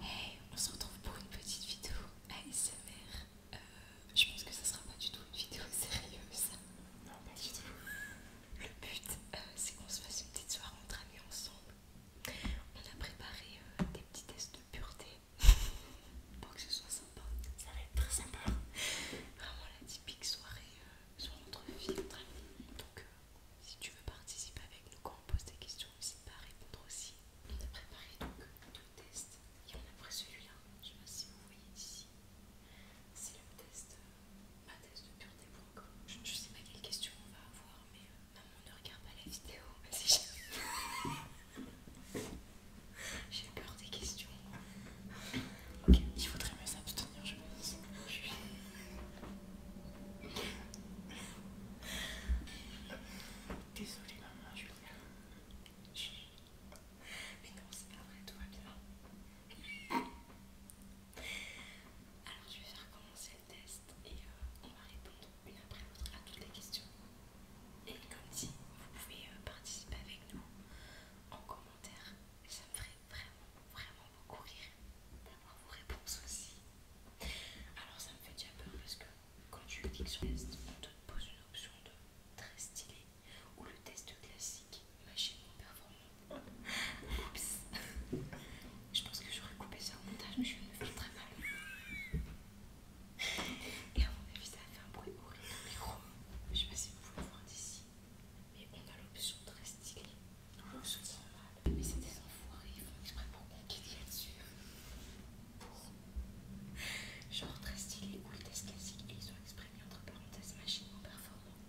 Hey, on se retrouve pour une petite vidéo ASMR. Euh, je pense que ça sera pas du tout une vidéo sérieuse. Non, pas du tout. Le but, euh, c'est qu'on se fasse une petite soirée entre amis ensemble. On a préparé euh, des petits tests de pureté pour que ce soit sympa. Ça va être très sympa. Vraiment la typique soirée sur notre filtre. Donc, euh, si tu veux participer avec nous quand on pose des questions, n'hésite pas à répondre aussi. On a préparé donc deux tests et on a pris celui-là. Je ne sais pas si vous voyez ici. C'est le test, euh, ma test de pureté pour Je sais pas quelles questions on va avoir, mais euh, maman ne regarde pas la vidéo. J'ai peur des questions. Ok, il faudrait mieux s'abstenir, je pense. Désolée, maman, Julia. Mais non, c'est pas vrai, tout va bien. Alors, je vais faire commencer le test et euh, on va répondre une après l'autre à toutes les questions. Et comme dit, vous pouvez euh, participer avec nous en commentaire ça me ferait vraiment, vraiment beaucoup rire d'avoir vos réponses aussi. Alors ça me fait déjà peur parce que quand tu cliques sur le test, on te pose une option de très stylé ou le test classique machine performant Oups Je pense que j'aurais coupé ça au montage mais je vais me filtrer très mal. Et à mon avis ça fait un bruit horrible au micro. Je sais pas si vous pouvez voir d'ici mais on a l'option très stylée. normal, mais c'est des enfoirés, ils font exprès pour conquérir dessus. Pour. Genre très stylé ou le test classique, et ils ont exprimé entre parenthèses machinement performants.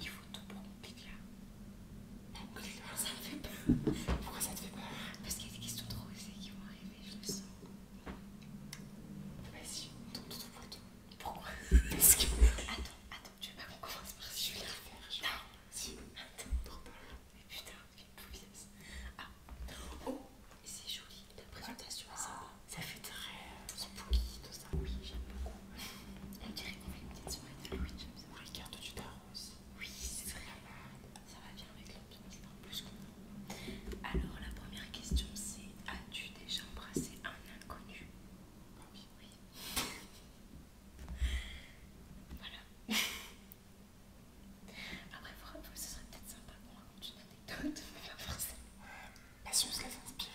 Il faut tout pour compliquer. là, ça me fait peur. Pourquoi ça te fait peur Parce qu'il y a des questions trop osées qui vont arriver, je le sens. Vas-y, on tombe tout pour tout. Pourquoi Attends, attends, tu veux pas qu'on commence par si je vais la refaire Non, si, attends. Mais putain, quelle pouilleuse. Ah, oh, c'est joli, la présentation est sympa. Oh, ça fait très euh, spooky, tout ça. Oui, j'aime beaucoup. On dirait qu'on fait une petite soirée de j'aime ça. tu t'arroses. Oui, c'est très Ça va bien avec l'ambiance, en plus qu'on a. Alors, la première question c'est As-tu déjà embrassé un inconnu ah oui. voilà. Après, pour vous, ce serait peut-être sympa qu'on raconte une anecdote, mais pas forcément. Euh, bah, si on se laisse ouais.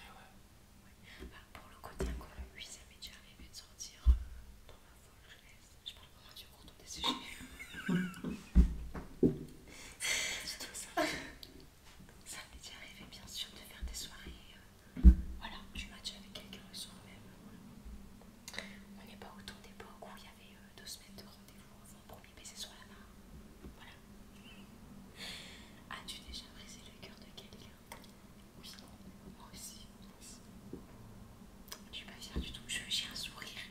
Bah, pour le côté incroyable, oui, ça m'est déjà arrivé de sortir pour euh, dans ma folle laisse. Je parle vraiment du cours des sujets. C'est tout ça. Ça m'est déjà arrivé, bien sûr, de faire des soirées. Euh, voilà, du match avec quelqu'un le soir même. On n'est pas autant d'époque où il y avait euh, deux semaines de rendez-vous avant le premier baiser sur la bah, main, Voilà. As-tu déjà brisé le cœur de quelqu'un Oui, moi aussi. Je suis pas fière du tout. J'ai un sourire,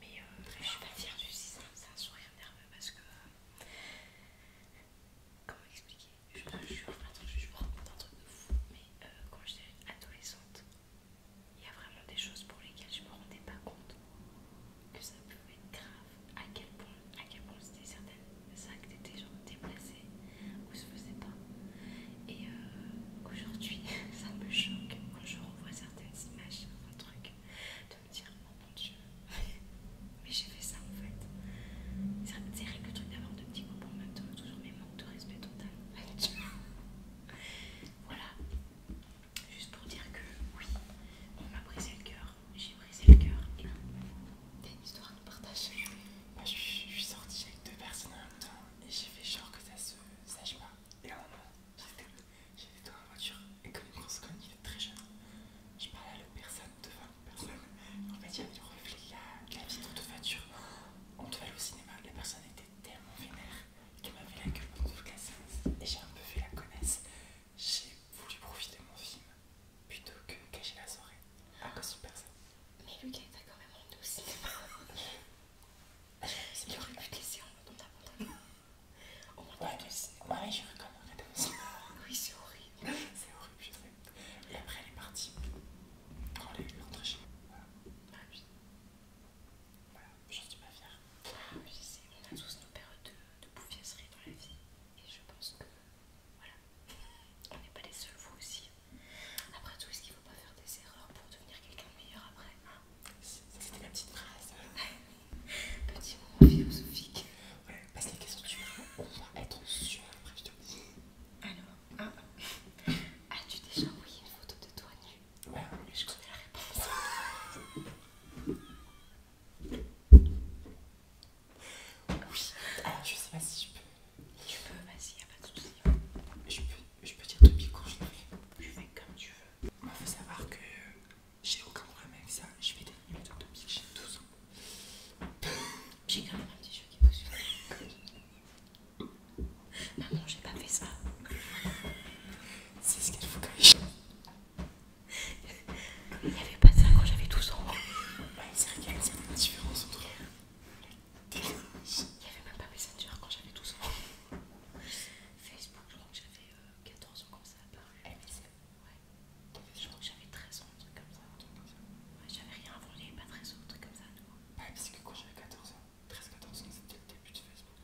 mais euh, je ne suis pas fière du système. C'est un sourire nerveux parce que. Comment expliquer je, te jure, Attends, je, je me un truc de fou, mais euh, quand j'étais adolescente, il y a vraiment des choses pour lesquelles je me rendais pas compte que ça pouvait être grave, à quel point, à quel c'était certaines actes étaient genre déplacés ou se faisaient pas. Et euh, aujourd'hui, ça me choque quand je revois certaines images, un truc dire, oh mon dieu, mais j'ai fait ça en fait. C'est vrai que le truc d'avoir deux petits copains en même temps, toujours mes manques de respect total. voilà, juste pour dire que oui, on m'a brisé le cœur, j'ai brisé le cœur et t'as une histoire à nous partager. je suis, sortie avec deux personnes en même temps et j'ai fait genre que ça se sache pas. Et là, un j'étais dans la voiture et comme il pense quand il est très jeune, je parlais à la personne, devant personne. personne, fait on m'a dit, il reflet la, la vitre de voiture. On devait aller au cinéma, la personne était tellement vénère qu'elle m'a la gueule dans le la et j'ai un peu fait la connaisse. J'ai voulu profiter de mon film plutôt que cacher la soirée à cause de personne. Mais Lucas, était quand même en douce, il aurait pu te laisser en mode on t'abandonne. Au moins, ouais, ouais, je Oui, c'est horrible c'est horrible, je sais. Et après, elle est partie. On elle est rentrée chez Voilà. Ah oui. suis pas fière. on a tous nos périodes de, de dans la vie. Et je pense que. Voilà. On n'est pas les seuls, vous aussi. Après tout, est-ce qu'il ne faut pas faire des erreurs pour devenir quelqu'un de meilleur après hein C'était la petite phrase. Petit moment philosophique. Ouais, parce que la question tu vas, on va être sûr après je te dis. Alors, ah, as-tu déjà envoyé une photo de toi nu Ouais, je connais la réponse. oui, alors je sais pas si je peux. Tu peux, vas-y, y'a pas de souci. Je peux, je peux dire depuis quand je le fais. Je vais comme tu veux. On faut savoir que j'ai aucun problème avec ça, je vais des nudes depuis que j'ai 12 ans. J'ai quand même un petit jeu qui vous suit. Maman, j'ai pas fait ça. C'est ce qu'il faut fasse. Il n'y avait pas ça quand j'avais 12 ans. Ouais, bah, c'est vrai qu'il y a une certaine différence entre Il n'y avait même pas Messenger quand j'avais 12 ans. Facebook, je crois que j'avais 14 euh, ans quand ça. Par... Ouais, je crois que j'avais 13 ans, un truc comme ça. Ouais, j'avais rien avant, j'avais pas 13 ans, un truc comme ça, C'est parce que quand j'avais 14 ans, 13-14 ans, c'était le début de Facebook,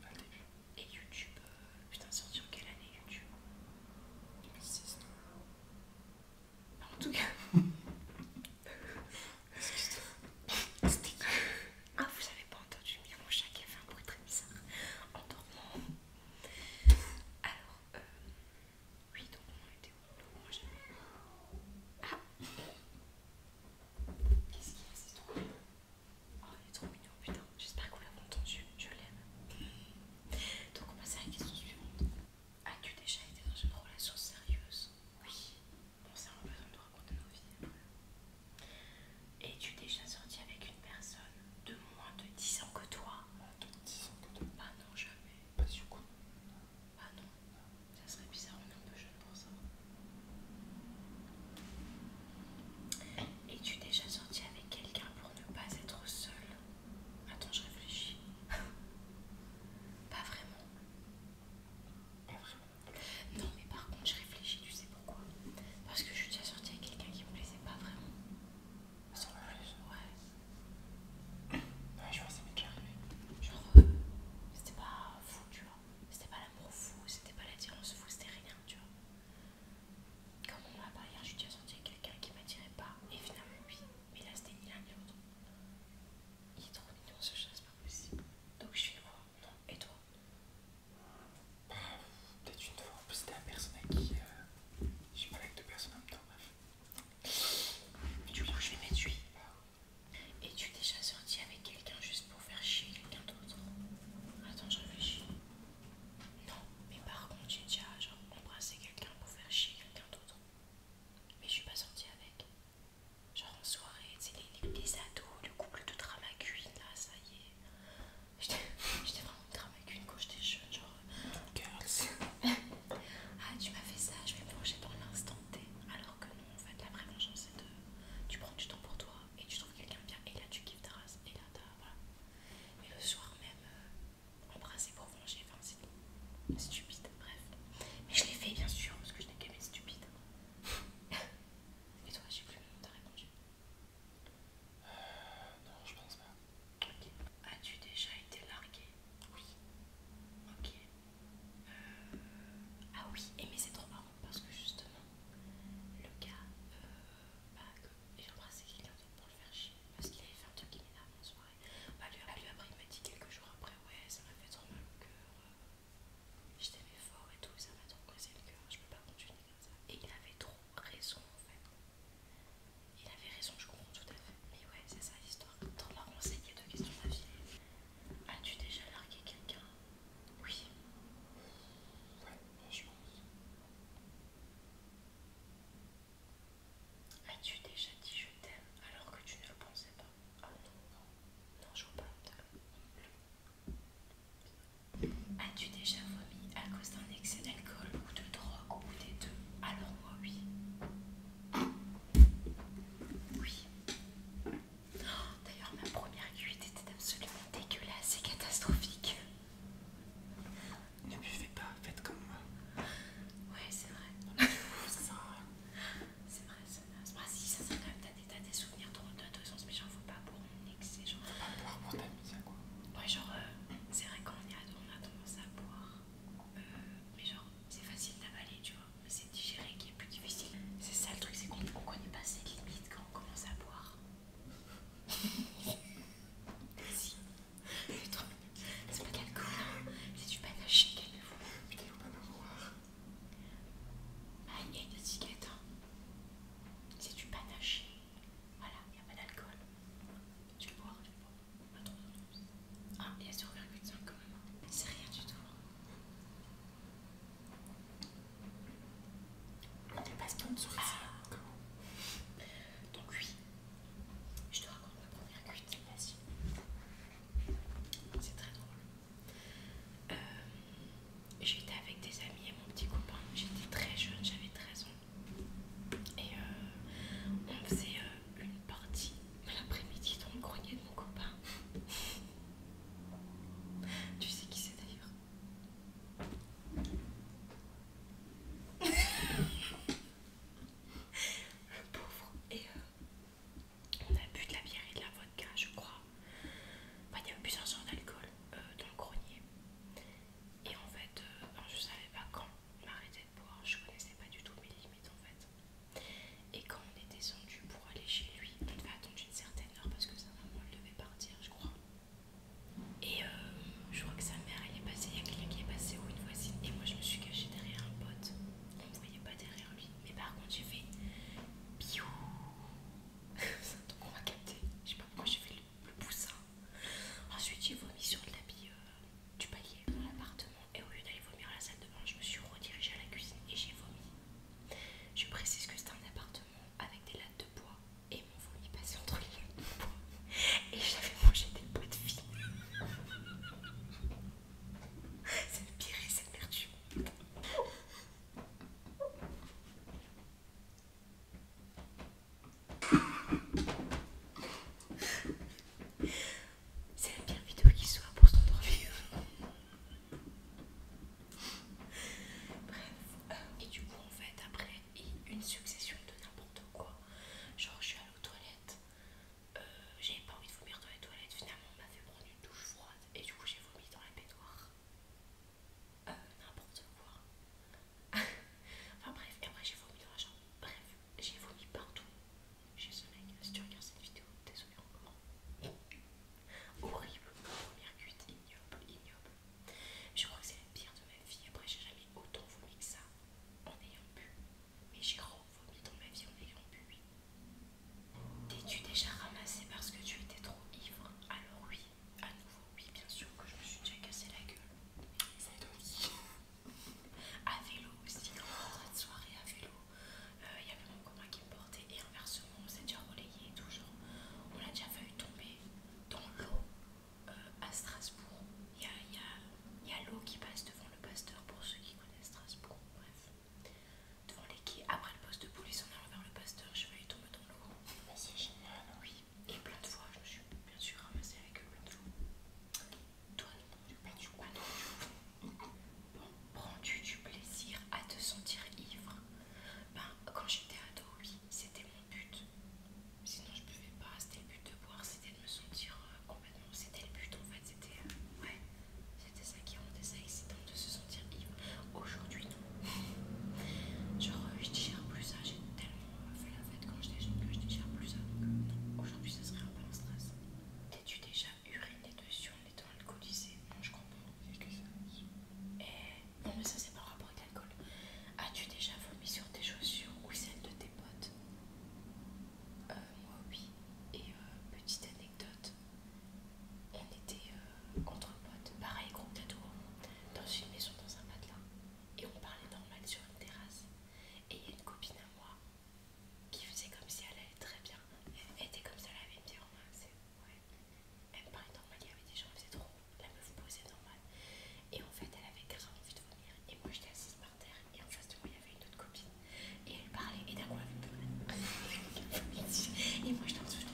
Et YouTube, euh, putain, sorti en quelle année YouTube 2006, bah, En tout cas. Excuse-toi. Ah, vous avez pas entendu, bien mon chat qui a fait un bruit très bizarre en dormant. Alors, euh, oui, donc on été où donc, moi, Ah Qu'est-ce qu'il y a C'est trop oh, il est trop mignon, putain. J'espère qu'on l'a entendu. Je l'aime. Donc, on passe à la question suivante. As-tu déjà été dans une relation sérieuse Oui. Bon, On a besoin de raconter nos vies. Es-tu déjà sorti avec une personne de moins de 10 ans que toi. de que toi ah non, jamais. Pas sur quoi. Ah non. Ça serait bizarre, on est un peu jeune pour ça. Es-tu déjà sorti avec quelqu'un pour ne pas être seul Attends, je réfléchis. pas vraiment. Pas vraiment. Non, mais par contre, je réfléchis, tu sais pourquoi Parce que je suis déjà sortie avec quelqu'un qui me plaisait pas vraiment. Ouais. je vois, Genre, euh, c'était pas fou, tu vois. C'était pas l'amour fou, c'était pas l'attirance fou, c'était rien, tu vois. Comme on m'a parlé hier, je suis déjà sorti avec quelqu'un qui m'attirait pas. Et finalement, oui. Mais là, c'était ni l'un ni l'autre. Il est trop mignon ce chat, c'est pas possible. Donc je suis quoi Non, et toi bah, Peut-être une fois, parce que c'était un personnage qui... je suis pas avec deux personnes en même temps, bref. Mais du coup je vais m'étudier. et tu es déjà sorti avec quelqu'un juste pour faire chier quelqu'un d'autre Attends, je réfléchis. Non, mais par contre j'ai déjà genre embrassé quelqu'un pour faire chier quelqu'un d'autre. Mais je suis pas sortie avec. Genre en soirée, tu sais, les, ados, le couple de drama là, ça y est. J'étais vraiment avec une, quand j'étais jeune, genre. Euh, ah, tu m'as fait ça, je vais me venger dans l'instant T. Alors que non, en fait, la vraie vengeance, c'est de. Tu prends du temps pour toi et tu trouves quelqu'un bien, et là tu kiffes ta race, et là t'as. Voilà. Et le soir même, embrasser euh, pour venger, enfin, c'est stupide, bref. Mais je l'ai fait, bien sûr, parce que je n'ai qu'aimé stupide. et toi, j'ai plus le nom, de répondu. Euh, non, je pense pas. Ok. As-tu déjà été largué Oui. Ok. Euh, ah oui, et mais c'est trop marrant parce que justement, le gars, euh, bah, que j'ai embrassé quelqu'un d'autre pour le faire chier parce qu'il avait fait un truc qui en soirée. Bah, bah, lui, après, il m'a dit quelques jours après, ouais, ça m'a fait trop mal au cœur. Euh, je t'aimais fort et tout, ça m'a trop cassé le cœur, je peux pas continuer et il avait trop raison en fait. Il avait raison, je comprends tout à fait. Mais ouais, c'est ça l'histoire. Dans la renseigne deux questions de As-tu déjà largué quelqu'un Oui. Ouais, je pense. As-tu déjà dit je t'aime alors que tu ne le pensais pas Ah non, non, non, je vois pas. As-tu déjà à cause d'un excès d'alcool ou de drogue ou des deux, alors moi oui. Oui. Oh, d'ailleurs, ma première cuite était absolument dégueulasse et catastrophique. Ne buvez pas, faites comme moi. Ouais, c'est vrai. c'est vrai, ça naze. Bah, si, ça, sert quand même t'as des, souvenirs drôles de deux sens, mais j'en veux pas pour mon excès. C'est quoi. Ouais, genre, euh, c'est vrai qu'on a, tendance à boire, euh, mais genre, c'est facile d'avaler, tu vois, mais c'est digérer qui est plus difficile. C'est ça le truc, c'est qu'on ne connaît pas ses limites quand on commence à boire. si, c'est pas de l'alcool, hein. c'est du panaché, quelquefois. Mais Putain, il faut pas ah, il y a une étiquette, hein. c'est du panaché. Voilà, il n'y a pas d'alcool. Je vais boire, je vais boire. Pas Ah, il y a 0,5 quand même. C'est rien du tout. On dépasse ton souris. Ah. Donc, oui, je te raconte ma première cuite. Vas-y. C'est très drôle. Euh, j'étais avec des amis et mon petit copain. J'étais très jeune, j'avais 13 ans. Et euh, on faisait euh, une partie l'après-midi dans le grenier de mon copain. tu sais qui c'est d'ailleurs Le pauvre. Et euh, on a bu de la bière et de la vodka, je crois. il y avait plusieurs genres d'alcool dans le grenier. Et en fait, euh, je savais pas quand m'arrêtait de boire, je connaissais pas du tout mes limites en fait. Et quand on est descendu pour aller chez lui, on devait attendre une certaine heure parce que sa maman devait partir, je crois. Et euh, je crois que sa mère elle est passée, il y a quelqu'un qui est passé ou une voisine, et moi je me suis cachée derrière un pote. On ne voyait pas derrière lui, mais par contre j'ai fait un Donc on m'a capté, je sais pas pourquoi j'ai fait le poussin. Ensuite, j'ai vomi sur de l'habit euh, du palier dans l'appartement. Et au lieu d'aller vomir à la salle de bain, je me suis redirigée à la cuisine et j'ai vomi. Je précise que c'était un appartement avec des lattes de bois et mon vomi passait entre les lattes de bois. Et j'avais mangé des bois de fille. C'est pire et c'est le c'est la pire vidéo qui soit pour s'endormir. Bref, et du coup, en fait, après, une succession de n'importe quoi. Genre, je suis allée aux toilettes, euh, j'avais pas envie de vomir dans les toilettes. Finalement, on m'a fait prendre une douche froide et du coup, j'ai vomi dans la baignoire. Euh, n'importe quoi. enfin bref, et après j'ai vomi dans la chambre. Bref, j'ai vomi partout j'ai ce mec. Si tu regardes cette vidéo, désolé comment Horrible, première cuite, ignoble, ignoble. Je crois que c'est la pire de ma vie. Après, j'ai jamais autant vomi que ça en ayant bu. Mais j'ai re-vomi dans ma vie en ayant bu. T'es-tu déjà ramassé parce que tu étais trop ivre Alors oui, à ah, nouveau, oui, bien sûr que je me suis déjà cassé la gueule. Ça À vélo aussi, hein, en soirée à vélo, il euh, y avait mon copain qui me portait et inversement, on s'est déjà relayé et tout. on a déjà failli tomber dans l'eau euh, à Strasbourg. Il y a, l'eau qui passe devant le pasteur pour ceux qui connaissent Strasbourg, bref. Devant les quais, après le poste de police, en allant vers le pasteur, je vais tomber dans l'eau. Mais c'est génial! Oui, et plein de fois, je me suis bien sûr ramassée avec le plein de Toi, non, tu prends du plaisir à te sentir ivre Ben, quand j'étais ado, oui, c'était mon but. Sinon, je buvais pas. C'était le but de boire, c'était de me sentir euh, complètement. C'était le but en fait, c'était. Euh, ouais, c'était ça qui rendait ça excitant de se sentir ivre. Aujourd'hui, non. Genre, euh, je digère plus ça, j'ai tellement fait la fête quand j'étais jeune que je digère plus ça. Donc aujourd'hui, ça serait un peu un stress. T'es-tu déjà uriné dessus en étant alcoolisé Non, je comprends. Et non, mais ça, c'est pas rapport avec l'alcool. As-tu déjà vomi sur tes chaussures ou celles de tes potes Moi, oui. Et petite anecdote, on était contre entre potes, pareil, groupe d'ado, dans une maison, dans un matelas et on parlait normal sur une terrasse. Et il y a une copine à moi qui faisait comme si elle allait très bien. Elle était comme ça, elle avait une en main. Ouais. Elle parlait normal, il y avait des gens, elle faisait trop. La meuf posait normal. Et en fait, elle avait grave envie de venir. Et moi, j'étais assise par terre. Et en face de moi, il y avait une autre copine. Et elle parlait. Et d'un coup, elle avait Et moi, j'étais en dessous.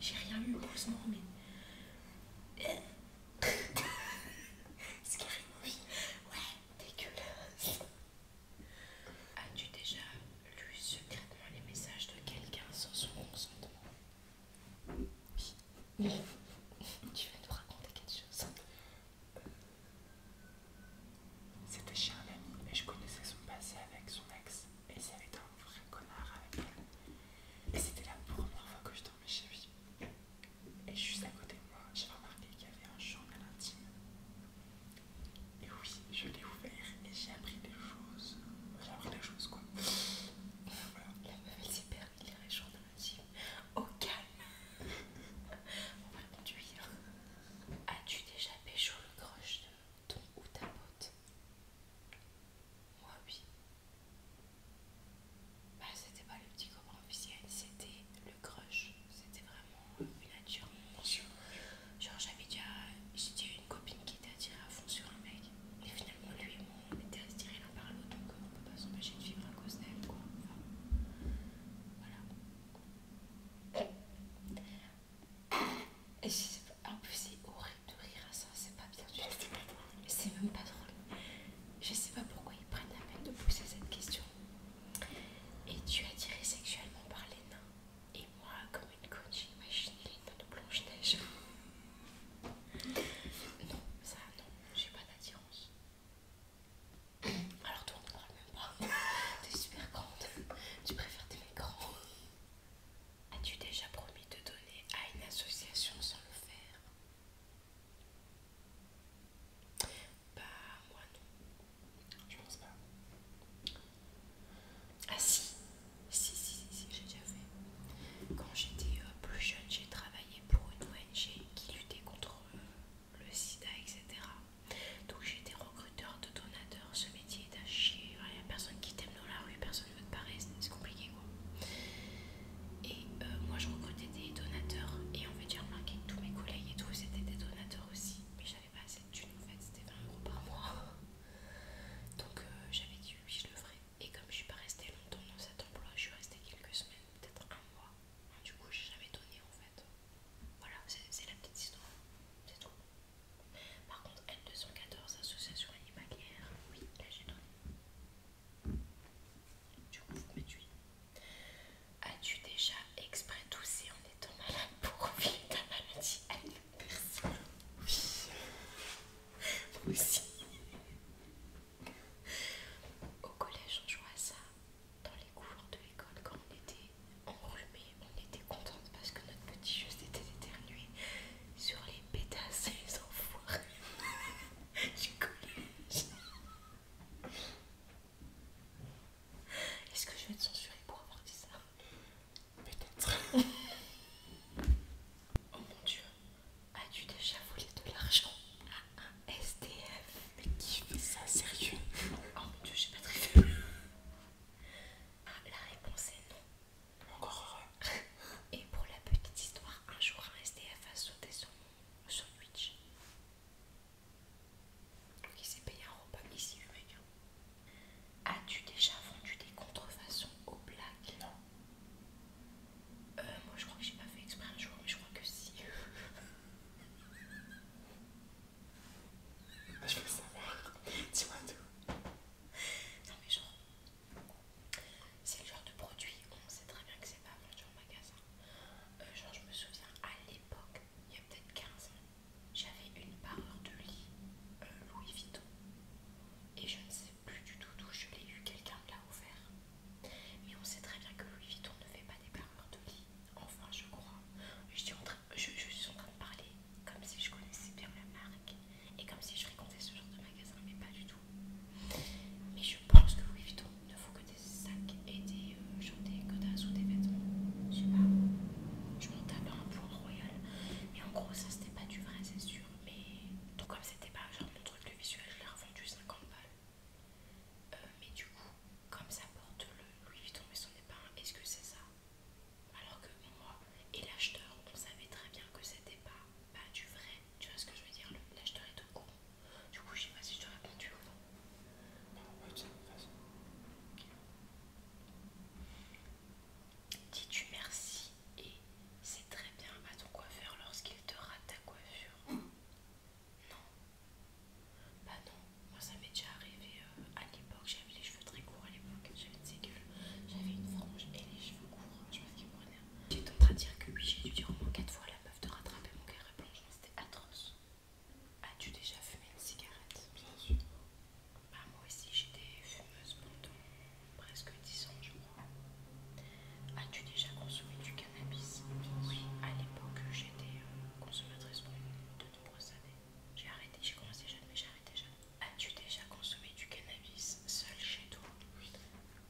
J'ai rien eu, moment mais. Euh, Scary Ouais, dégueulasse As-tu déjà lu secrètement les messages de quelqu'un sans son consentement Oui. Tu vas nous raconter quelque chose C'était chez un ami et je connaissais son passé avec son ex et il avait un vrai connard avec elle. Et c'était la première fois que je mais j'ai Et juste à côté de moi, j'ai remarqué qu'il y avait un journal intime. Et oui, je l'ai ouvert et j'ai appris des choses. J'ai appris des choses quoi. voilà. La meuf elle s'est permis les intime Au calme On va conduire. As-tu déjà pécho le crush de ton ou ta pote Moi oui. Bah, c'était pas le petit copain officiel, c'était le crush. C'était vraiment une nature. Genre, j'avais déjà, j'étais une copine qui était attirée à fond sur un mec. Et finalement, lui et moi, on était attirés l'un par l'autre. Donc, on peut pas s'empêcher de vivre à cause d'elle, quoi. voilà. Et en plus, c'est horrible de rire à ça, c'est pas bien du tout. c'est même pas drôle. Je sais pas pourquoi ils prennent la peine de pousser cette question. Et tu es attirée sexuellement par les nains. Et moi, comme une coach, j'imagine les nains de Blanche-Neige. non, ça, non, j'ai pas d'attirance. Alors toi, on ne parle même pas. T'es super grande. Tu préfères tes grands. As-tu déjà promis de donner à une association sans le faire Bah, moi non. Je pense pas. Ah si Si, si, si, j'ai déjà fait. Quand j'étais euh, plus jeune, j'ai travaillé pour une ONG qui luttait contre euh, le sida, etc. Donc j'étais recruteur de donateurs. Ce métier est à chier. Il n'y a personne qui t'aime personne dans la rue, personne ne veut te parler, c'est compliqué quoi. Et euh, moi je recrutais des donateurs et en fait j'ai remarqué que tous mes collègues et tout c'était des donateurs aussi, mais j'avais pas assez de thunes en fait, c'était 20 euros par mois. Donc euh, j'avais dit oui je le ferai. Et comme je suis pas restée longtemps dans cet emploi, je suis restée quelques semaines, peut-être un mois. Du coup j'ai jamais donné en fait. Voilà, c'est la petite histoire, c'est tout. Par contre, L214, association animalière, oui, là j'ai donné. Du coup, vous As-tu déjà exprès toussé en étant malade pour vivre ta maladie à une personne Oui. Moi aussi. Au collège, on jouait à ça. Dans les cours de l'école, quand on était enrhumés, on était contente parce que notre petit jeu était d'éternuer sur les pétasses et les enfoirés du collège. Est-ce que je vais être censurée pour avoir dit ça Peut-être. oh mon dieu, as-tu déjà volé de l'argent à un SDF Mais qui fait ça sérieux Oh mon dieu, j'ai pas très ah, la réponse est non. Encore Et pour la petite histoire, un jour un SDF a sauté son sandwich. Donc il s'est payé un repas ici, mec. Hein. As-tu déjà vendu des contrefaçons aux blagues Non. Euh, moi je crois que j'ai pas fait exprès un jour, mais je crois que si. Je veux savoir. Dis-moi tout. Non mais genre, c'est le genre de produit, on sait très bien que c'est pas vendu en magasin. Euh, genre, je me souviens à l'époque, il y a peut-être 15 ans, j'avais une parure de lit euh, Louis Vuitton et je ne sais plus du tout d'où je l'ai eu, quelqu'un me l'a offert. Mais on sait très bien que Louis Vuitton ne fait pas des parures de lit, enfin, je crois. Je suis en train, je suis en train de parler comme si je connaissais bien la marque. Et comme si je récontais ce genre de magasin, mais pas du tout. Mais je pense que Louis Vuitton ne faut que des sacs et des, euh, des ou des vêtements. Je sais pas. Je m'en tape un point royal. Mais en gros, ça c'était pas du vrai, c'est sûr. Mais tout comme c'était pas genre mon truc, de visuel, je l'ai revendu 50 balles. Euh, mais du coup, comme ça porte le Louis Vuitton, mais ce n'est pas un, est-ce que c'est ça alors que moi et l'acheteur, on savait très bien que c'était pas, pas du vrai, tu vois ce que je veux dire Là, je te réponds au Du coup, je sais pas si je te répondu ou non. de façon. Dis-tu merci et c'est très bien à ton coiffeur lorsqu'il te rate ta coiffure mmh. Non. Bah non, moi ça m'est déjà arrivé euh, à l'époque, j'avais les cheveux très courts à l'époque, j'avais une gueules, j'avais une frange et les cheveux courts, je pense qu'ils prenaient J'étais en train de dire que oui, j'ai dû dire au moins 4 fois à la meuf de rattraper mon carré blanc, c'était atroce. As-tu déjà fumé une cigarette Bien sûr. Bah, moi aussi, j'étais fumeuse pendant presque 10 ans, je crois. As-tu déjà consommé du cannabis Oui, à l'époque, j'étais euh, consommatrice pendant de nombreuses années. J'ai arrêté, j'ai commencé jeune, mais j'ai arrêté jeune. As-tu déjà consommé du cannabis seul chez toi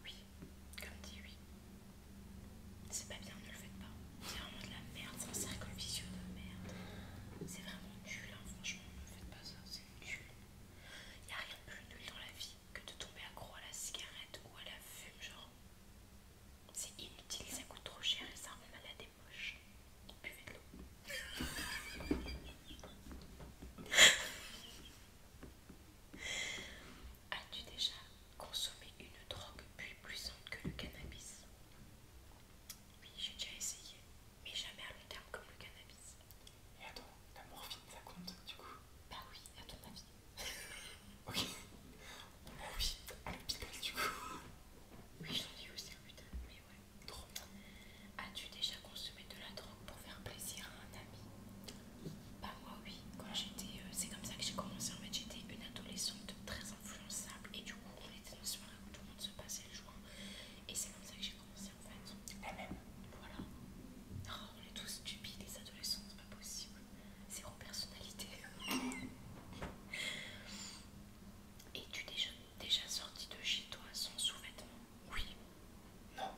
Oui. Comme dit oui. C'est pas bien, ne le faites pas. C'est vraiment de la merde, c'est un cercle vicieux de merde. C'est vraiment nul, hein, franchement, ne faites pas ça, c'est nul. Y a rien de plus nul dans la vie que de tomber accro à la cigarette ou à la fume, genre. C'est inutile, ça coûte trop cher et ça rend malade et moche. Buvez de l'eau. As-tu déjà consommé une drogue plus puissante que le cannabis Oui, j'ai déjà essayé, mais jamais à long terme comme le cannabis. Et attends, la morphine ça compte du coup Bah oui, à ton avis. ok. Bah oui, à l'hôpital du coup. Oui, j'en ai aussi mais ouais. Trop bien. As-tu déjà consommé de la drogue pour faire plaisir à un ami Bah moi oui, quand j'étais, euh, c'est comme ça que j'ai commencé en fait, j'étais une adolescente très influençable et du coup on était dans une soirée où tout le monde se passait le joint et c'est comme ça que j'ai commencé en fait. même Voilà. Oh, on est tous stupides les adolescents, c'est pas possible. Zéro personnalité. Es-tu déjà, déjà sorti de chez toi sans sous-vêtements Oui. Non.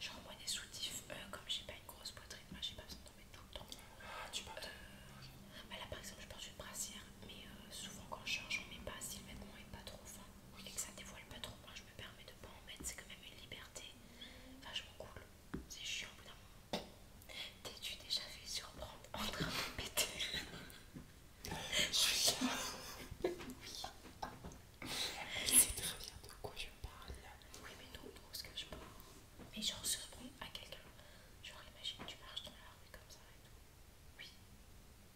Genre, moi, des soutifs, euh, comme j'ai pas une grosse poitrine, moi j'ai pas besoin d'en mettre tout le temps. Ah, tu parles de... Euh, bah Là, par exemple, je porte une brassière, mais euh, souvent quand je change, j'en mets pas si le vêtement est pas trop fin et que ça dévoile pas trop. Moi, je me permets de pas en mettre, c'est quand même une liberté. Enfin, je m'en coule, c'est chiant au bout d'un moment. T'es-tu déjà fait surprendre en train de péter je suis oui. Elle très bien de quoi je parle. Oui, mais non est ce que je parle. Mais genre, surprenant à quelqu'un. Genre, imagine, tu marches dans la rue comme ça et tout. Oui.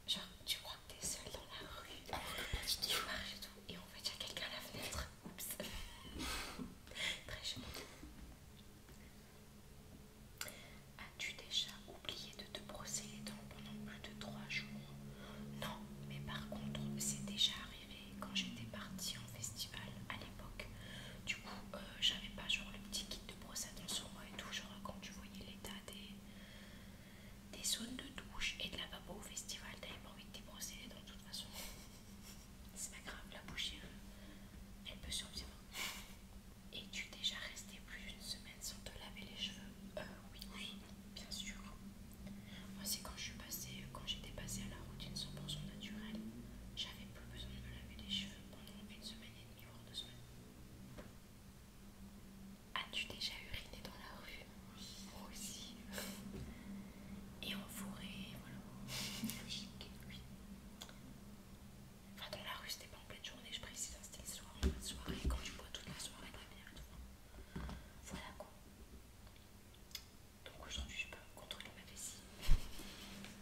Genre, tu crois que t'es seule dans la rue. Tu marches et tout. Et en fait, il y a quelqu'un à la fenêtre. Oups. très chemin. As-tu déjà oublier de te brosser les dents pendant plus de trois jours. Non, mais par contre, c'est déjà arrivé quand j'étais partie en festival à l'époque. Du coup, euh, j'avais pas genre le petit kit de brosse à dents sur moi et tout, genre quand tu voyais l'état des, des zones de douche et de la lavabo au festival, t'avais pas envie de te brosser les dents de toute façon. c'est pas grave, la bouche, euh, elle peut survivre. et tu déjà resté plus d'une semaine sans te laver les cheveux euh, oui, bien sûr. Moi, c'est quand je suis passée, quand j'étais passée à la routine 100% naturelle, j'avais plus besoin de me laver les cheveux pendant une semaine et demie, voire deux semaines. As-tu déjà uriné dans la rue aussi. et en forêt, voilà. Logique, oui. Enfin, dans la rue, c'était pas en pleine journée, je précise, hein, c'était le soir, en soirée, quand tu bois toute la soirée, la tout. Voilà quoi. Donc aujourd'hui je peux contrôler ma vessie.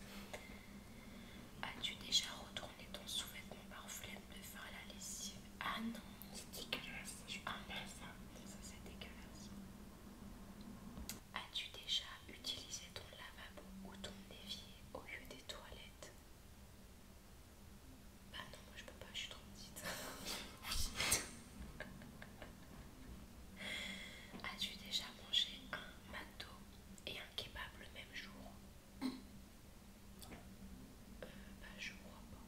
As-tu déjà retourné ton sous-vêtement par flemme de faire la lessive Ah non C'est dégueulasse, ah, ça. Ça c'est dégueulasse. As-tu déjà utilisé ton lavabo ou ton évier au lieu des toilettes bah non, moi je peux pas, je suis trop petite. As-tu déjà mangé un mato et un kebab le même jour euh, Bah je crois pas.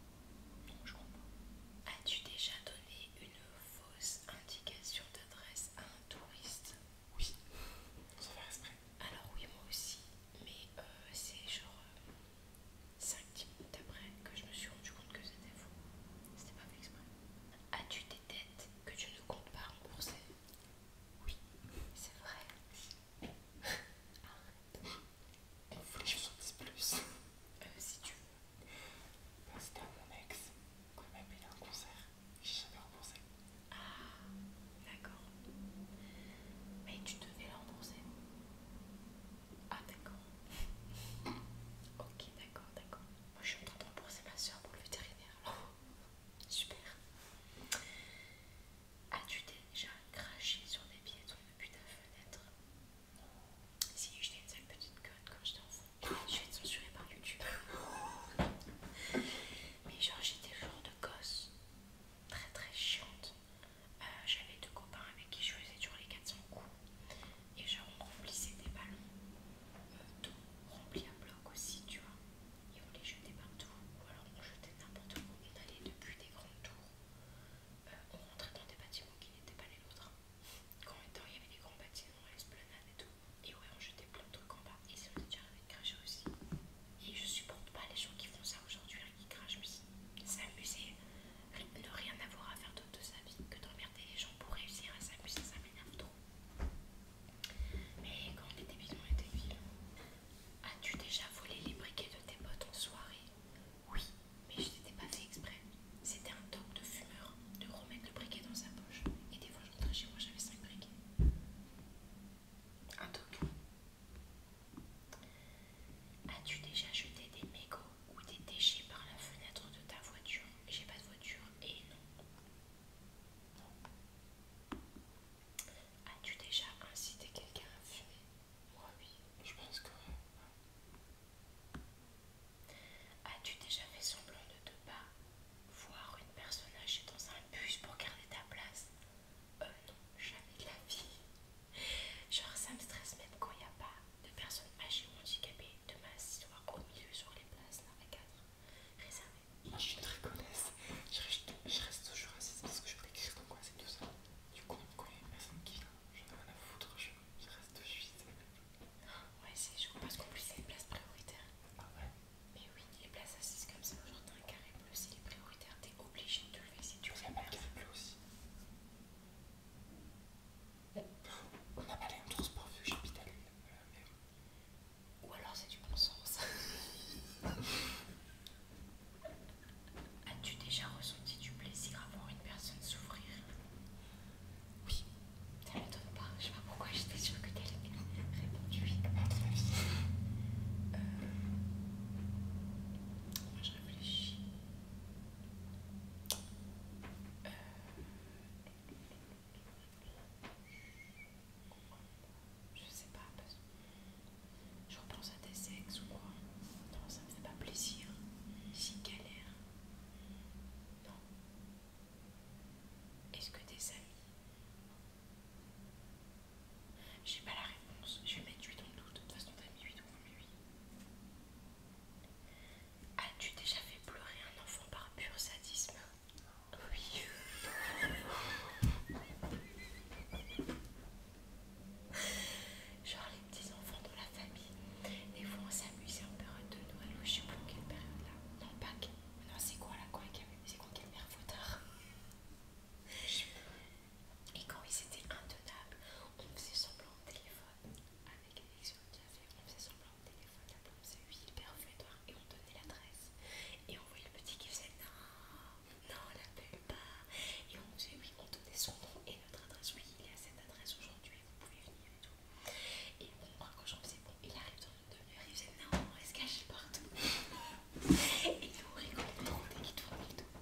Non, je crois pas. As-tu déjà donné une fausse indication d'adresse à un touriste Oui, sans faire exprès. Alors oui, moi aussi, mais euh, c'est genre... Euh, 5 minutes après que je me suis rendu compte que c'était faux. C'était pas fait exprès. As-tu des dettes que tu ne comptes pas rembourser Oui, c'est vrai. Arrête. Il faut que je vous plus. Euh, si tu veux. c'était à mon ex. Quand il a un concert, j'ai jamais remboursé. Ah, d'accord. Mais tu devais l'annoncer. Ah d'accord. ok, d'accord, d'accord. Moi je suis en train de rembourser ma soeur pour le vétérinaire. Super. As-tu déjà craché sur des piétons depuis ta fenêtre Si je une une petite conne quand j'étais enfant, je vais être censurée par YouTube. Mais genre j'étais genre de gosse très très chiante euh, j'avais deux copains avec qui je faisais toujours les 400 coups. Et genre on remplissait des ballons euh, tout d'eau remplis à bloc aussi, tu vois. Et on les jetait partout. Ou alors on jetait n'importe où. On allait depuis des grandes tours. Euh, on rentrait dans des bâtiments qui n'étaient pas les nôtres. Quand même temps, il y avait des grands bâtiments, l'esplanade et tout. Et ouais, on jetait plein de trucs en bas. Et ça m'est déjà arrivé de cracher aussi. Et je supporte pas les gens qui font ça aujourd'hui il crache lui. S'amuser ne rien avoir à faire d'autre de sa vie que de les gens pour réussir à s'amuser, ça m'énerve trop. Mais quand on est étaient on est As-tu déjà volé les briquets de tes potes en soirée Oui, mais je t'étais pas fait exprès. C'était un toc de fumeur de remettre le briquet dans sa poche. Et des fois, je rentrais chez moi, j'avais cinq briquets. Un toc As-tu déjà jeté des mégots ou des déchets par la fenêtre de ta voiture J'ai pas de voiture et non. As-tu déjà incité quelqu'un à fumer Moi oui, je pense que non. As-tu déjà fait semblant de te pas voir une personne âgée dans un bus pour garder ta place euh, non, jamais de la vie. Genre, ça me stresse même quand il n'y a pas de personnes âgées ou handicapées de masse, histoire au milieu sur les places, là, à cadre réservé. je suis très Je reste, toujours assise parce que je peux écrire quoi, c'est tout ça. Du coup, quand il y a une personne qui vient, j'en ai rien à foutre, je, reste juste. Ouais, c'est chaud parce qu'en plus, c'est une place prioritaire. Ah ouais? Mais oui, les places assises comme ça, genre dans un carré bleu, c'est les prioritaires, obligé de te laisser si tu regardes. Il pleut aussi. On n'a pas les mêmes transports euh, vu que Ou alors c'est du bon sens. As-tu déjà ressenti du plaisir à voir une personne souffrir Oui. Ça m'étonne pas. Je sais pas pourquoi j'étais sûre que t'allais répondu oui. Euh je réfléchis. Euh, sais pas, parce... je repense à tes sexes ou quoi. Non, ça me fait pas plaisir. Si galère. Non. Est-ce que tes amis j'ai pas la réponse. Je vais mettre 8 en doute. De toute façon, t'as mis 8 ou en lui. As-tu déjà fait pleurer un enfant par pur sadisme Oui. Genre les petits enfants de la famille, des fois on s'amusait en période de Noël ou je sais plus quelle période là. Non, Pâques. Non, c'est quoi là C'est quoi quelle mère Et quand ils étaient intenables, on faisait semblant au téléphone avec l'élection on faisait semblant au téléphone, la pomme le père perfumatoire, et on donnait l'adresse. Et on voyait le petit qui faisait non, non, l'appelle pas. Et on faisait oui, on donnait son nom et notre adresse, oui, il est à cette adresse aujourd'hui, vous pouvez venir et tout. Et on quand j'en faisais bon, il arrive dans une demi-heure, il faisait non, on se caché partout. Il est horrible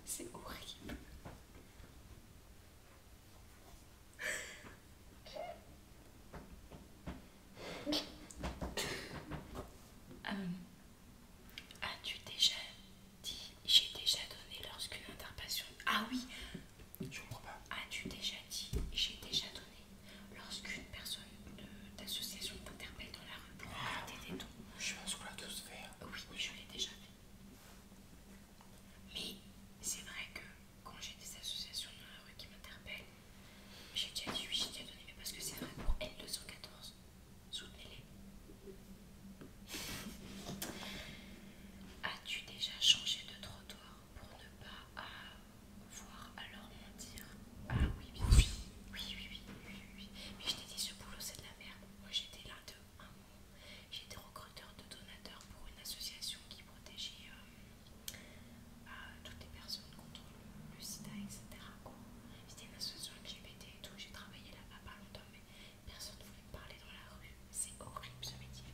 C'est horrible. Euh, as-tu déjà dit j'ai déjà donné lorsqu'une interpellation ah oui je comprends pas as-tu déjà dit j'ai déjà donné lorsqu'une personne de d'association t'interpelle dans la rue pour arrêter ah des je pense là l'a fait hein. Ah oui, je l'ai déjà fait. Mais c'est vrai que quand j'ai des associations dans la rue qui m'interpellent, j'ai déjà dit oui, j'ai déjà donné, mais parce que c'est vrai pour L214, soutenez-les. As-tu déjà changé de trottoir pour ne pas voir alors leur mentir Ah oui, Oui, oui, oui, oui, oui. oui. Mais je t'ai dit, ce boulot, c'est de la merde. Moi j'étais l'un de un mois. J'étais recruteur de donateurs pour une association qui protégeait euh, toutes les personnes contre le, le sida, etc. C'était une association LGBT et tout, j'ai travaillé là-bas pas longtemps, mais personne ne voulait me parler dans la rue. C'est horrible ce métier.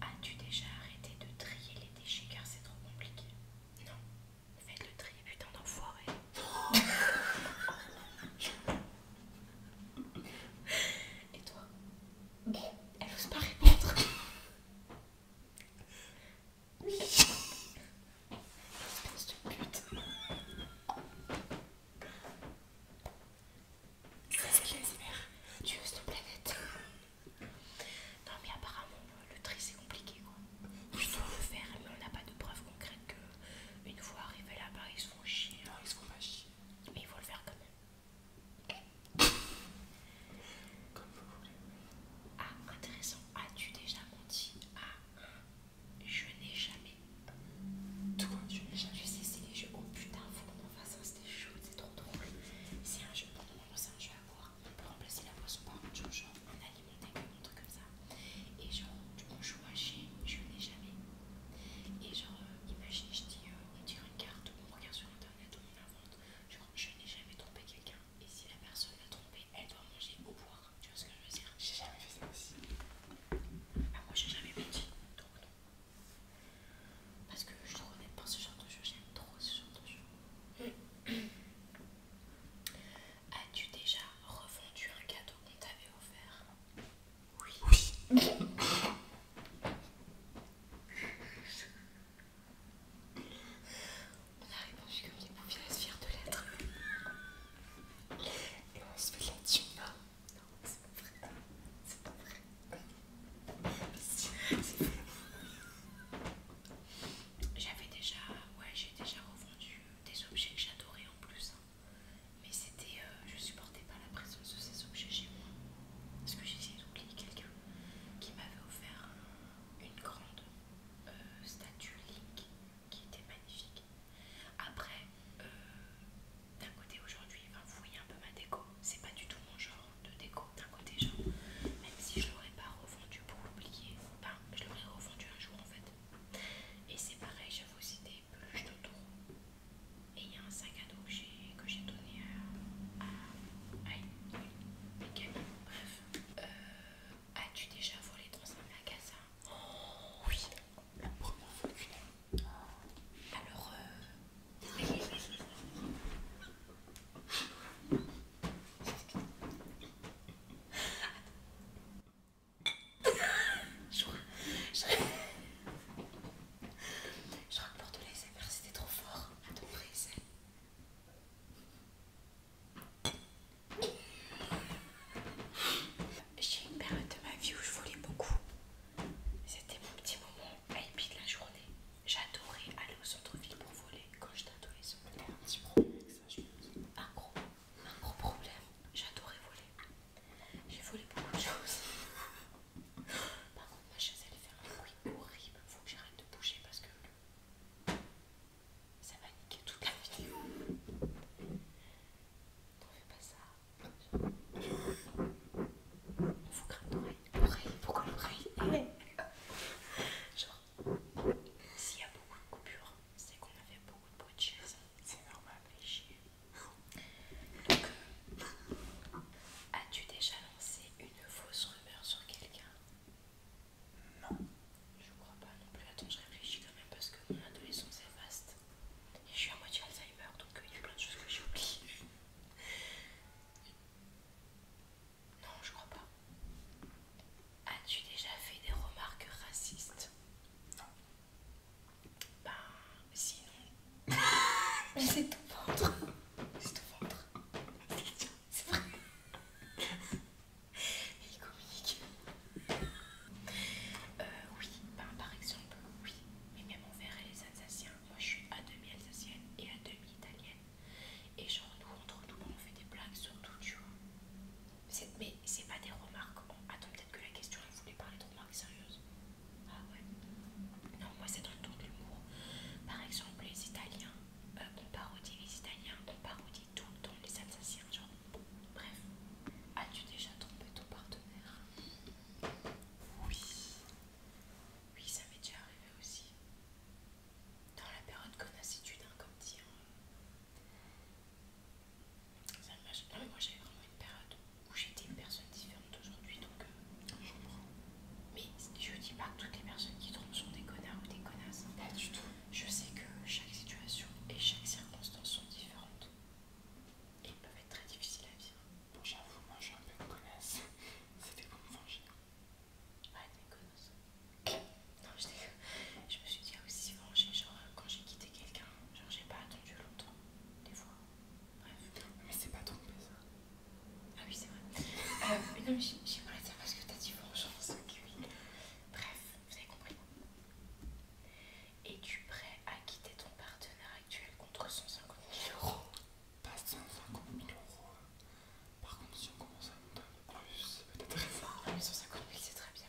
As-tu déjà arrêté de trier les déchets car c'est trop compliqué Non. Faites le tri, putain d'enfoiré. Et toi Elle n'ose pas répondre. Oui. Espèce de pute. C'est les Tu oses ton planète. Non mais apparemment le tri c'est compliqué quoi. Je dois le faire mais on n'a pas de preuves concrètes que une fois arrivé là-bas, ils se font chier. Hein. ils se font pas chier. Mais il faut le faire quand même. Comme vous voulez. Ah, intéressant. As-tu déjà menti à je n'ai jamais Toi, je n'ai jamais. Je sais, c'est les jeux. Oh putain, faut qu'on en fasse un, c'était chaud, c'est trop drôle. C'est un jeu. C'est un jeu à voir. On peut remplacer la pose par un genre des comme ça. Et genre, on joue à chez, je n'ai jamais. Et genre, euh, imagine, je dis, on tire une carte, on regarde sur internet, on invente Genre, je n'ai jamais trompé quelqu'un. Et si la personne l'a trompé, elle doit manger ou boire. Tu vois ce que je veux dire J'ai jamais fait ça aussi. Ah, moi, j'ai jamais menti, donc non. Parce que je ne pas ce genre de jeu, j'aime trop ce genre de jeu. As-tu déjà revendu un cadeau qu'on t'avait offert Oui. on a répondu comme les bouffées à se de l'être Et on se fait de Non, c'est pas vrai. C'est pas vrai. vrai. J'avais déjà, ouais, j'ai déjà revendu des objets que j'adorais en plus. Hein. Mais c'était, euh, je supportais pas la présence de ces objets chez moi. Parce que j'essayais d'oublier quelqu'un qui m'avait offert une grande euh, statue Link qui était magnifique. Après, euh, d'un côté aujourd'hui, enfin, vous un peu ma déco. C'est pas du tout mon genre de déco. D'un côté, genre, même si je l'aurais pas revendu pour l'oublier, enfin, je l'aurais revendu un jour en fait. Et c'est pareil, j'avais aussi des peluches de tour, Et il y a un sac à dos que j'ai donné à, à, à Bref. Euh, as-tu déjà volé dans un magasin oh, Oui, la Alors, euh, je, crois que pour te laisser faire, c'était trop fort à ton c'est... J'ai une période de ma vie où je volais beaucoup. C'était mon petit moment happy de la journée. J'adorais aller au centre-ville pour voler quand j'étais adolescente. Un petit problème je Un gros un gros problème. J'adorais voler. J'ai volé beaucoup de choses. Par contre, ma chaise, elle fait un bruit horrible. il Faut que j'arrête de bouger parce que ça va niquer toute la vidéo. T'en fais pas ça. Il faut que l'oreille. L'oreille, pourquoi l'oreille Genre, s'il y a beaucoup de coupures, c'est qu'on avait beaucoup de bruit C'est normal. Donc, euh, as-tu déjà lancé une fausse rumeur sur quelqu'un Non. Je crois pas non plus. Attends, je réfléchis quand même parce que mon adolescence est vaste. Et je suis à moitié Alzheimer, donc euh, il y a plein de choses que j'oublie. Non, je crois pas. As-tu déjà fait des remarques racistes Non. Ben, sinon. Mais c'est ton ventre. C'est ton ventre. C'est vrai. il est comique. Euh, oui, ben, par exemple, oui. Mais même on verrait les Alsaciens. Moi, je suis à demi alsacienne et à demi italienne. Et genre, nous, entre nous, on fait des blagues sur tout, tu vois. Mais c'est pas des remarques. attends, peut-être que la question elle voulait parler de remarques sérieuses. Ah ouais. Non, moi c'est dans le tour de l'humour. Par exemple, les Italiens, euh, on parodie les Italiens, on parodie tout le temps les Alsaciens. Genre, bref. As-tu déjà trompé ton partenaire Oui. Oui, ça m'est déjà arrivé aussi. Dans la période connassitude, hein, comme dit. Hein, ça non, mais moi j'avais vraiment une période où j'étais une personne différente d'aujourd'hui, donc euh, je Mais je dis pas que toutes les personnes qui trompent sont des connards ou des connasses. Pas du tout. Je sais que chaque situation et chaque circonstance sont différentes et peuvent être très difficiles à vivre. Bon, j'avoue, moi je suis un peu une connasse. C'était pour me venger. Ouais, t'es une non, je, je me suis dit aussi, ah genre, euh, quand j'ai quitté quelqu'un, j'ai pas attendu longtemps, des fois. Bref. Mais c'est pas trompé ça. Ah oui, c'est vrai. Euh, non, mais j'ai parlé de ça parce que t'as dit vengeance. Oui. Bref, vous avez compris. Es-tu prêt à quitter ton partenaire actuel contre 150 000 euros Pas 150 000 euros. Hein. Par contre, si on commence à monter donner plus, c'est peut-être. Non, mais 150 000, c'est très bien.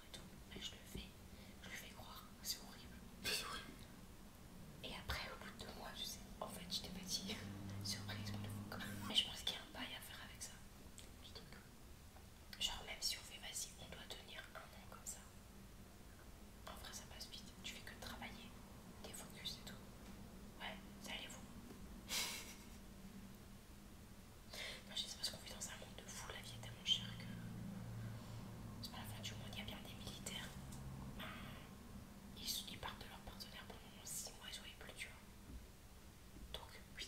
et je le fais, je le fais croire, c'est horrible. horrible. Et après, au bout de deux mois, je sais, en fait, j'étais fatiguée. Surprise Mais je pense qu'il y a un bail à faire avec ça. Genre, même si on fait, vas-y, on doit tenir un an comme ça. En vrai, ça passe vite. Tu fais que travailler, t'es focus et tout. Ouais, ça allez vous. moi je sais pas ce qu'on vit dans un monde de fou, la vie est tellement chère que. C'est pas la fin du monde, il y a bien des militaires. Ben, ils, partent de leur partenaire pendant 6 mois, ils ont plus, tu Donc, oui.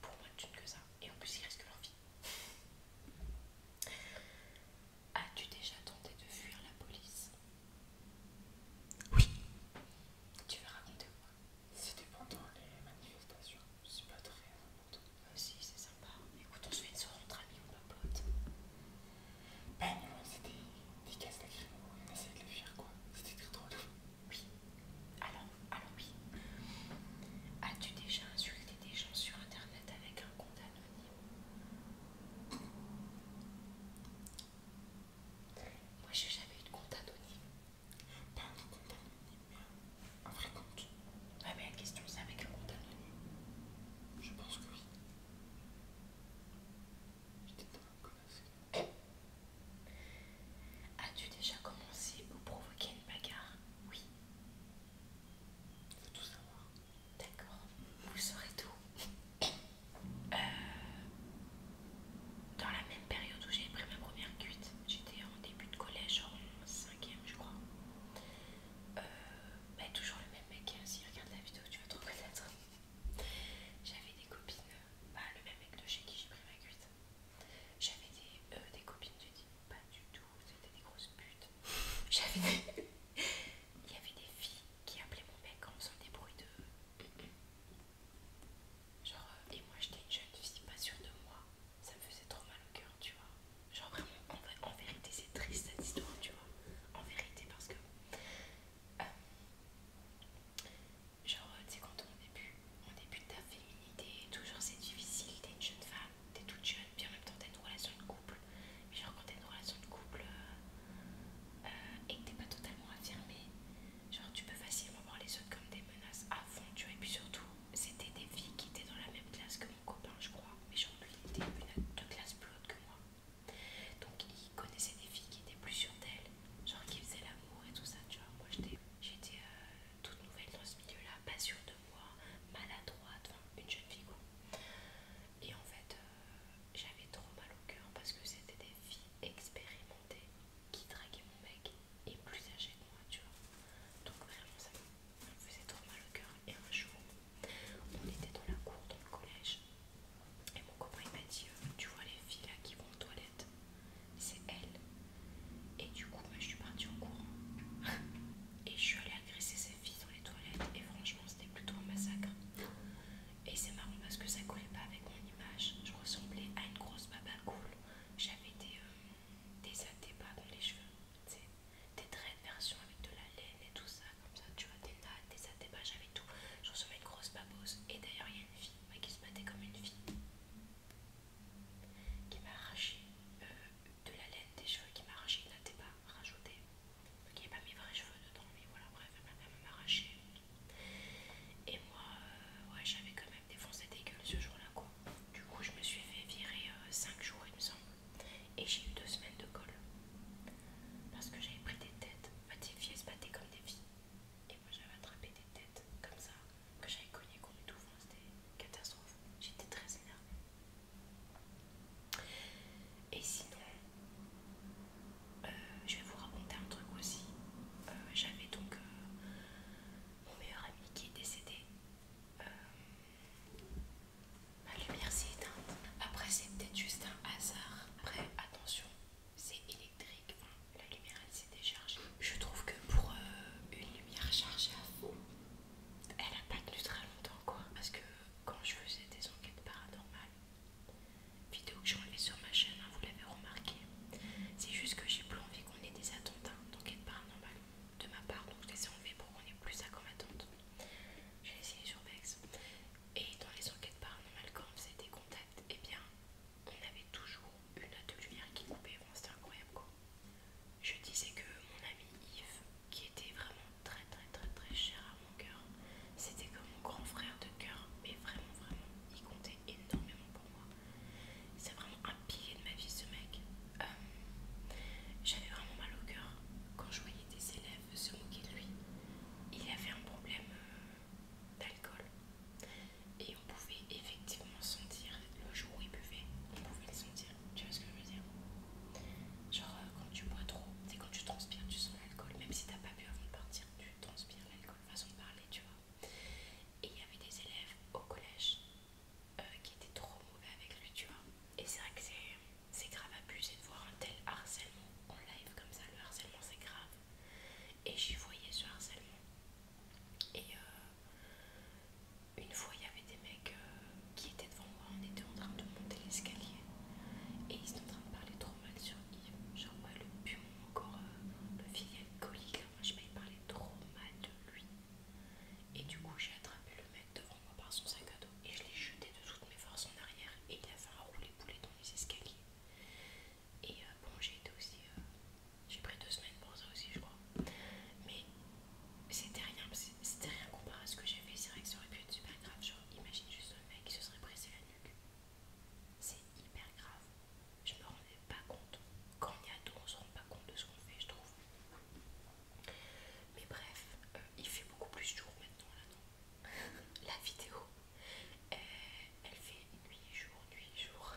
Pour moi, de ne que ça. Et en plus, ils risquent leur vie. As-tu déjà tenté de fuir la police Oui. Tu veux raconter quoi c'était pendant les manifestations, c'est pas très important. Ah si, c'est sympa. Écoute, on se fait une soirée entre amis, on papote. Ben non, c'était des cases lacrymo, on essayait de les fuir quoi. C'était très drôle. Oui. Alors, alors oui. As-tu déjà insulté des gens sur internet avec un compte anonyme Moi j'ai jamais eu de compte anonyme. Pas un compte anonyme, mais un, vrai compte. Ah mais la question c'est avec un compte anonyme. Je pense que oui. J'étais tellement classe. As-tu déjà commencé ou provoqué une bagarre Oui. Faut tout savoir. D'accord. Vous saurez tout. dans la même période où j'ai pris ma première cuite, j'étais en début de collège, cinquième je crois. mais euh, bah, toujours le même mec, si regarde la vidéo tu vas te reconnaître. J'avais des copines, pas bah, le même mec de chez qui j'ai pris ma cuite. J'avais des, euh, des copines, tu dis pas du tout, c'était des grosses putes. J'avais Il y avait des filles qui appelaient mon mec en faisant des bruits de... Genre, euh, et moi j'étais une jeune fille pas sûre de moi, ça me faisait trop mal au cœur, tu vois. Genre vraiment, en, vérité, c'est triste cette histoire, tu vois. En vérité, parce que. Euh, genre, tu sais, quand on débute, début de ta féminité toujours c'est difficile, t'es une jeune femme, t'es toute jeune, puis en même temps t'as une relation de couple. Mais genre, quand t'as une relation de couple euh, euh, et que t'es pas totalement affirmée, genre tu peux facilement voir les autres comme des menaces à fond, tu vois, et puis surtout c'était des filles qui étaient dans la même classe que mon copain, je crois. Mais genre, ils étaient une, deux classes plus hautes que moi. Donc, il connaissait des filles qui étaient plus sûres d'elles, genre qui faisaient l'amour et tout ça. Tu moi, j'étais euh, toute nouvelle dans ce milieu-là, pas sûre de moi, maladroite, une jeune fille, quoi. Et en fait, euh, j'avais trop mal au cœur parce que c'était des filles expérimentées qui draguait mon mec et plus âgé que moi, tu vois. Donc vraiment ça me faisait trop mal au cœur. Et un jour, on était dans la cour, dans le collège, et mon copain il m'a dit, euh, tu vois les filles là qui vont aux toilettes, c'est elles. Et du coup, moi je suis partie en courant. et je suis allée agresser ces filles dans les toilettes. Et franchement, c'était plutôt un massacre. Et c'est marrant parce que ça collait pas avec mon image. Je ressemblais à une grosse baba cool. J'avais été des pas dans les cheveux, des traits de version avec de la laine et tout ça, comme ça, tu vois, des nattes, des adébages j'avais tout. Je recevais une grosse babose, et d'ailleurs, il y a une fille qui se battait comme une fille qui m'a arraché euh, de la laine des cheveux, qui m'a arraché de natte pas rajoutée. Qui il pas mes vrais cheveux dedans, mais voilà, bref, elle m'a même arraché. Et moi, euh, ouais, j'avais quand même défoncé des gueules ce jour-là, du coup, je me suis fait virer 5 euh, jours, il me semble. Et j'ai eu 2 semaines de colle. Parce que j'avais pris des têtes. des filles se battaient comme des filles. Et moi, j'avais attrapé des têtes comme ça, que j'avais cogné contre tout. fond, C'était catastrophe. J'étais très énervée. Et sinon, euh, je vais vous raconter un truc aussi. Euh, j'avais donc mon meilleur ami qui est décédé, euh, ma lumière s'est éteinte. Après, c'est peut-être juste un hasard. Après, attention, c'est électrique. la lumière, elle s'est déchargée. Je trouve que pour euh, une lumière chargée elle a pas tenu très longtemps, quoi. Parce que quand je faisais des enquêtes paranormales, vidéo que j'enlevais sur ma chaîne, hein, vous l'avez remarqué, c'est juste que j'ai plus envie qu'on ait des attentats hein, d'enquête paranormale ah normal, bah, de ma part, donc je les ai enlevés pour qu'on ait plus ça comme attente. J'ai essayé sur Vex. Et dans les enquêtes paranormales, quand on faisait des contacts, et eh bien, on avait toujours une note de lumière qui coupait. C'était incroyable quoi. Je disais que mon ami Yves, qui était vraiment très très très très cher à mon cœur, c'était comme mon grand frère de cœur, mais vraiment vraiment, il comptait énormément pour moi. C'est vraiment un pilier de ma vie ce mec. Euh, j'avais vraiment mal au cœur quand je voyais des élèves se moquer de lui. Il avait un problème euh, d'alcool et on pouvait effectivement sentir le jour où il buvait, on pouvait le sentir. Tu vois ce que je veux dire Genre euh, quand tu bois trop, c'est quand tu transpires, tu sens l'alcool, même si t'as pas bu avant de partir, tu transpires l'alcool, façon de parler, tu vois. Et il y avait des élèves au collège euh, qui était trop mauvais avec lui, tu vois. Et c'est vrai que c'est grave abusé de voir un tel harcèlement en live comme ça. Le harcèlement, c'est grave. Et j'y voyais ce harcèlement. Et euh, une fois, il y avait des mecs euh, qui étaient devant moi. On était en train de monter l'escalier. Et ils étaient en train de parler trop mal sur lui Genre, le pion, encore le filial colique. je vais parlé trop mal de lui. Et du coup, j'ai attrapé le mec devant moi par son sac à dos et je l'ai jeté de toutes mes forces en arrière. Et il a fait un roulet poulet dans les escaliers. Et euh, bon, j'ai été aussi. Euh, j'ai pris deux semaines pour ça aussi, je crois. Mais c'était rien, c'était rien comparé à ce que j'ai fait. C'est vrai que ça aurait pu être super grave. Genre, imagine juste un mec qui se serait pressé la nuque. C'est hyper grave je me rendais pas compte. Quand on y a tout, on se rend pas compte de ce qu'on fait, je trouve. Mais bref, euh, il fait beaucoup plus jour maintenant là, La vidéo, euh, elle fait nuit, jour, nuit, jour.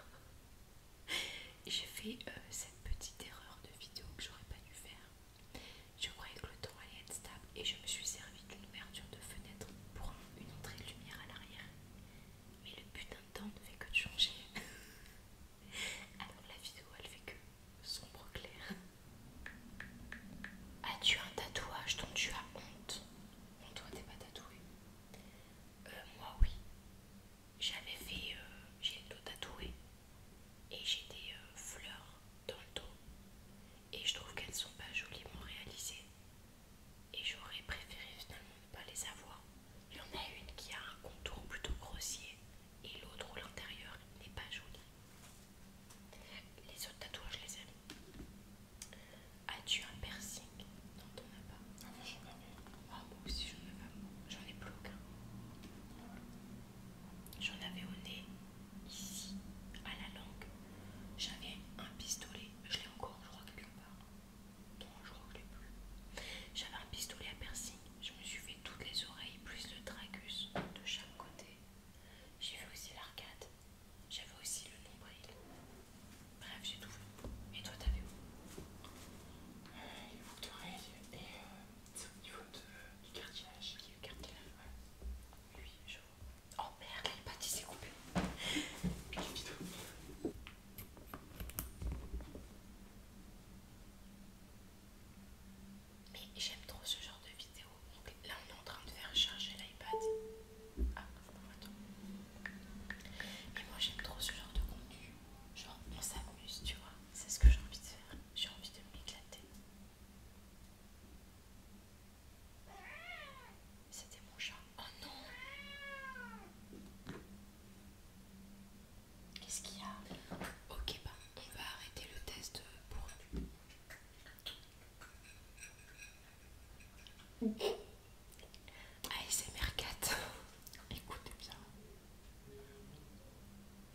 J'ai fait euh, cette petite erreur de vidéo que j'aurais pas dû faire. Je croyais que le temps allait être stable et je me suis servi d'une ouverture de fenêtre pour une entrée de lumière à l'arrière. Mais le putain ne fait que de changer. Alors la vidéo elle fait que sombre clair. As-tu un tatouage dont tu as honte On toi t'es pas tatoué. Euh, moi oui. J'avais fait, euh, j'ai le dos tatoué et j'ai des euh, fleurs dans le dos et je trouve qu'elles sont pas joliment réalisées et j'aurais préféré finalement pas les avoir. Il y en a une qui a un contour plutôt grossier et l'autre où l'intérieur n'est pas joli. Les autres tatouages, je les aime. As-tu un piercing Non, t'en as pas. moi j'en ah, j'en J'en ai plus aucun. J'en avais au nez, ici, à la langue. J'avais un pistolet. Je l'ai encore, je crois, quelque part. Non, je crois que je plus. J'avais un pistolet à piercing. Je me suis fait toutes les oreilles plus le tragus de chaque côté. J'ai vu aussi l'arcade. J'avais aussi le nombril. Bref, j'ai tout vu. Et toi, t'avais où euh, Il faut d'oreilles et euh, c'est au niveau du cartilage. Qui est le cartilage Ouais. Lui, je vois. Oh merde, les pâtisses s'est coupé. Mais j'aime trop ce genre de vidéo. Donc là, on est en train de faire charger l'iPad. Ah, attends. Et moi, j'aime trop ce genre de contenu. Genre, on s'amuse, tu vois. C'est ce que j'ai envie de faire. J'ai envie de m'éclater. C'était mon chat. Oh non! Qu'est-ce qu'il y a Ok, ben, on va arrêter le test pour ASMR 4 Écoutez bien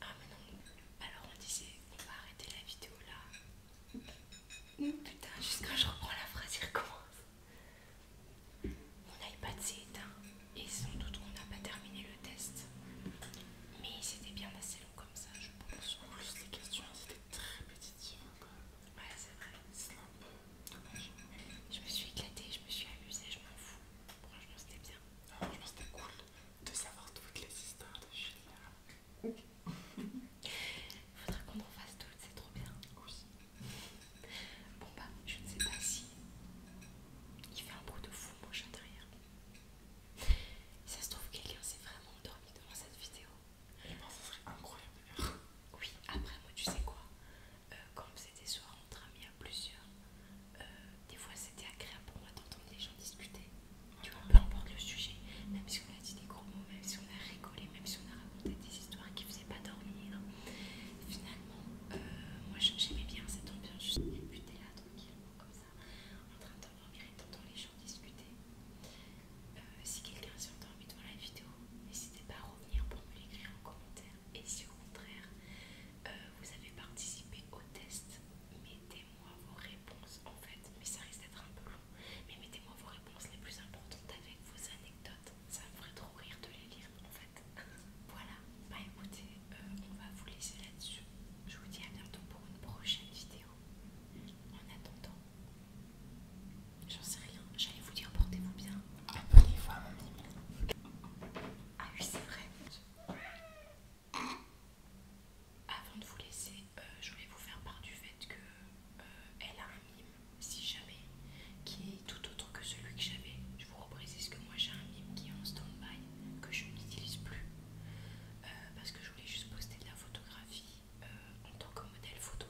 Ah mais non Alors on disait on va arrêter la vidéo là Putain juste quand je reprends la phrase il recommence mon iPad s'est éteint et sans doute on n'a pas terminé le test. Mais c'était bien assez long comme ça, je pense. En plus, les questions c'était très répétitives hein, quand même. Ouais, c'est vrai. C'est un peu dommage. Je me suis éclatée, je me suis amusée, je m'en fous. Franchement, c'était bien. pense ah, que c'était cool de savoir toutes les histoires de Il faudrait qu'on en fasse toutes, c'est trop bien. Bon bah, je ne sais pas si il fait un bruit de fou, moi j'entends rien. Si ça se trouve, quelqu'un s'est vraiment endormi devant cette vidéo. Et eh ben, ça serait incroyable de Oui, après, moi, tu sais quoi euh, on Quand c'était soir entre amis à plusieurs, euh, des fois c'était agréable pour moi d'entendre les gens discuter. Tu vois, peu importe le sujet, même si on a dit des gros mots, même si on a rigolé, même si on a raconté des histoires qui pas dormir. Finalement, euh, moi j'aimais bien cette ambiance. juste débuter là tranquillement comme ça, en train de dormir et d'entendre les gens discuter. Euh, si quelqu'un s'est endormi devant la vidéo, n'hésitez pas à revenir pour me l'écrire en commentaire. Et si au contraire, euh, vous avez participé au test, mettez-moi vos réponses en fait. Mais ça risque d'être un peu long. Mais mettez-moi vos réponses les plus importantes avec vos anecdotes ça me ferait trop rire de les lire en fait. voilà, bah écoutez, euh, on va vous laisser là-dessus. Je vous dis à bientôt pour une prochaine vidéo. En attendant, j'en sais rien, j'allais vous dire portez-vous bien. Abonnez-vous à mon mime. Ah oui, c'est vrai. Avant de vous laisser, euh, je voulais vous faire part du fait que euh, elle a un mime si jamais, qui est tout autre que celui que j'avais. Je vous reprécise que moi j'ai un mime qui est en stand-by, que je n'utilise plus, euh, parce que je voulais juste poster de la photographie euh, en tant que modèle photo,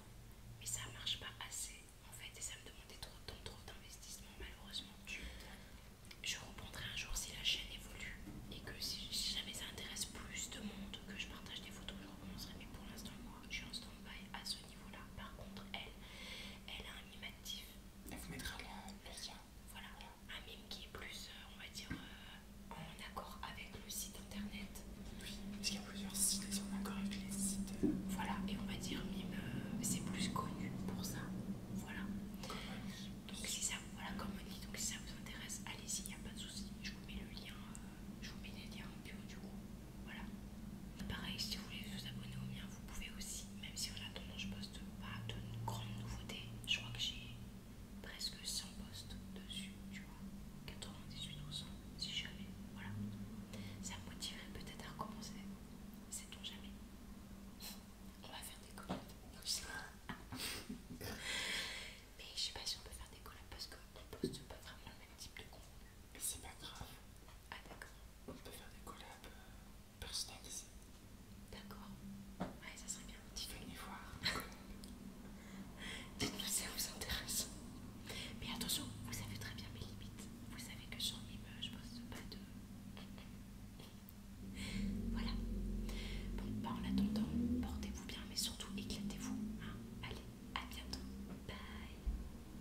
mais ça marche pas assez en fait, et ça me demandait trop trop d'investissement malheureusement. Je reprendrai un jour si la chaîne évolue et que si jamais ça intéresse plus de monde que je partage des photos, je recommencerai. Mais pour l'instant, moi, je suis en stand à ce niveau-là. Par contre, elle, elle a elle vous mettra le lien. Voilà, un mime qui est plus, euh, on va dire, euh, en accord avec le site internet. Oui, parce qu'il y a plusieurs sites, qui sont en accord avec les sites. Voilà, et on va dire mime, euh, c'est plus connu pour ça. Voilà. donc si ça, voilà, comme on dit, donc si ça vous intéresse, allez-y, il n'y a pas de souci. Je vous mets le lien, je vous mets les liens en bio du coup. Voilà. Pareil, si vous voulez vous abonner au mien, vous pouvez aussi, même si on attend je poste pas de grandes nouveautés. Je crois que j'ai presque 100 posts dessus, tu vois. 98 si jamais. Voilà. Ça me motiverait peut-être à recommencer. Sait-on jamais On va faire des collabs. Mais je sais pas si on peut faire des collabs parce qu'on poste pas vraiment le même type de contenu. Mais c'est pas grave. Ah d'accord. On peut faire des collabs euh, ici. D'accord. Ouais, ça serait bien. Tu voir. Dites-nous si ça vous intéresse. Mais attention, vous savez très bien mes limites. Vous savez que j'en ai, je pense pas de. Voilà. Bon, bah en attendant, portez-vous bien, mais surtout éclatez-vous. Hein. Allez, à bientôt. Bye.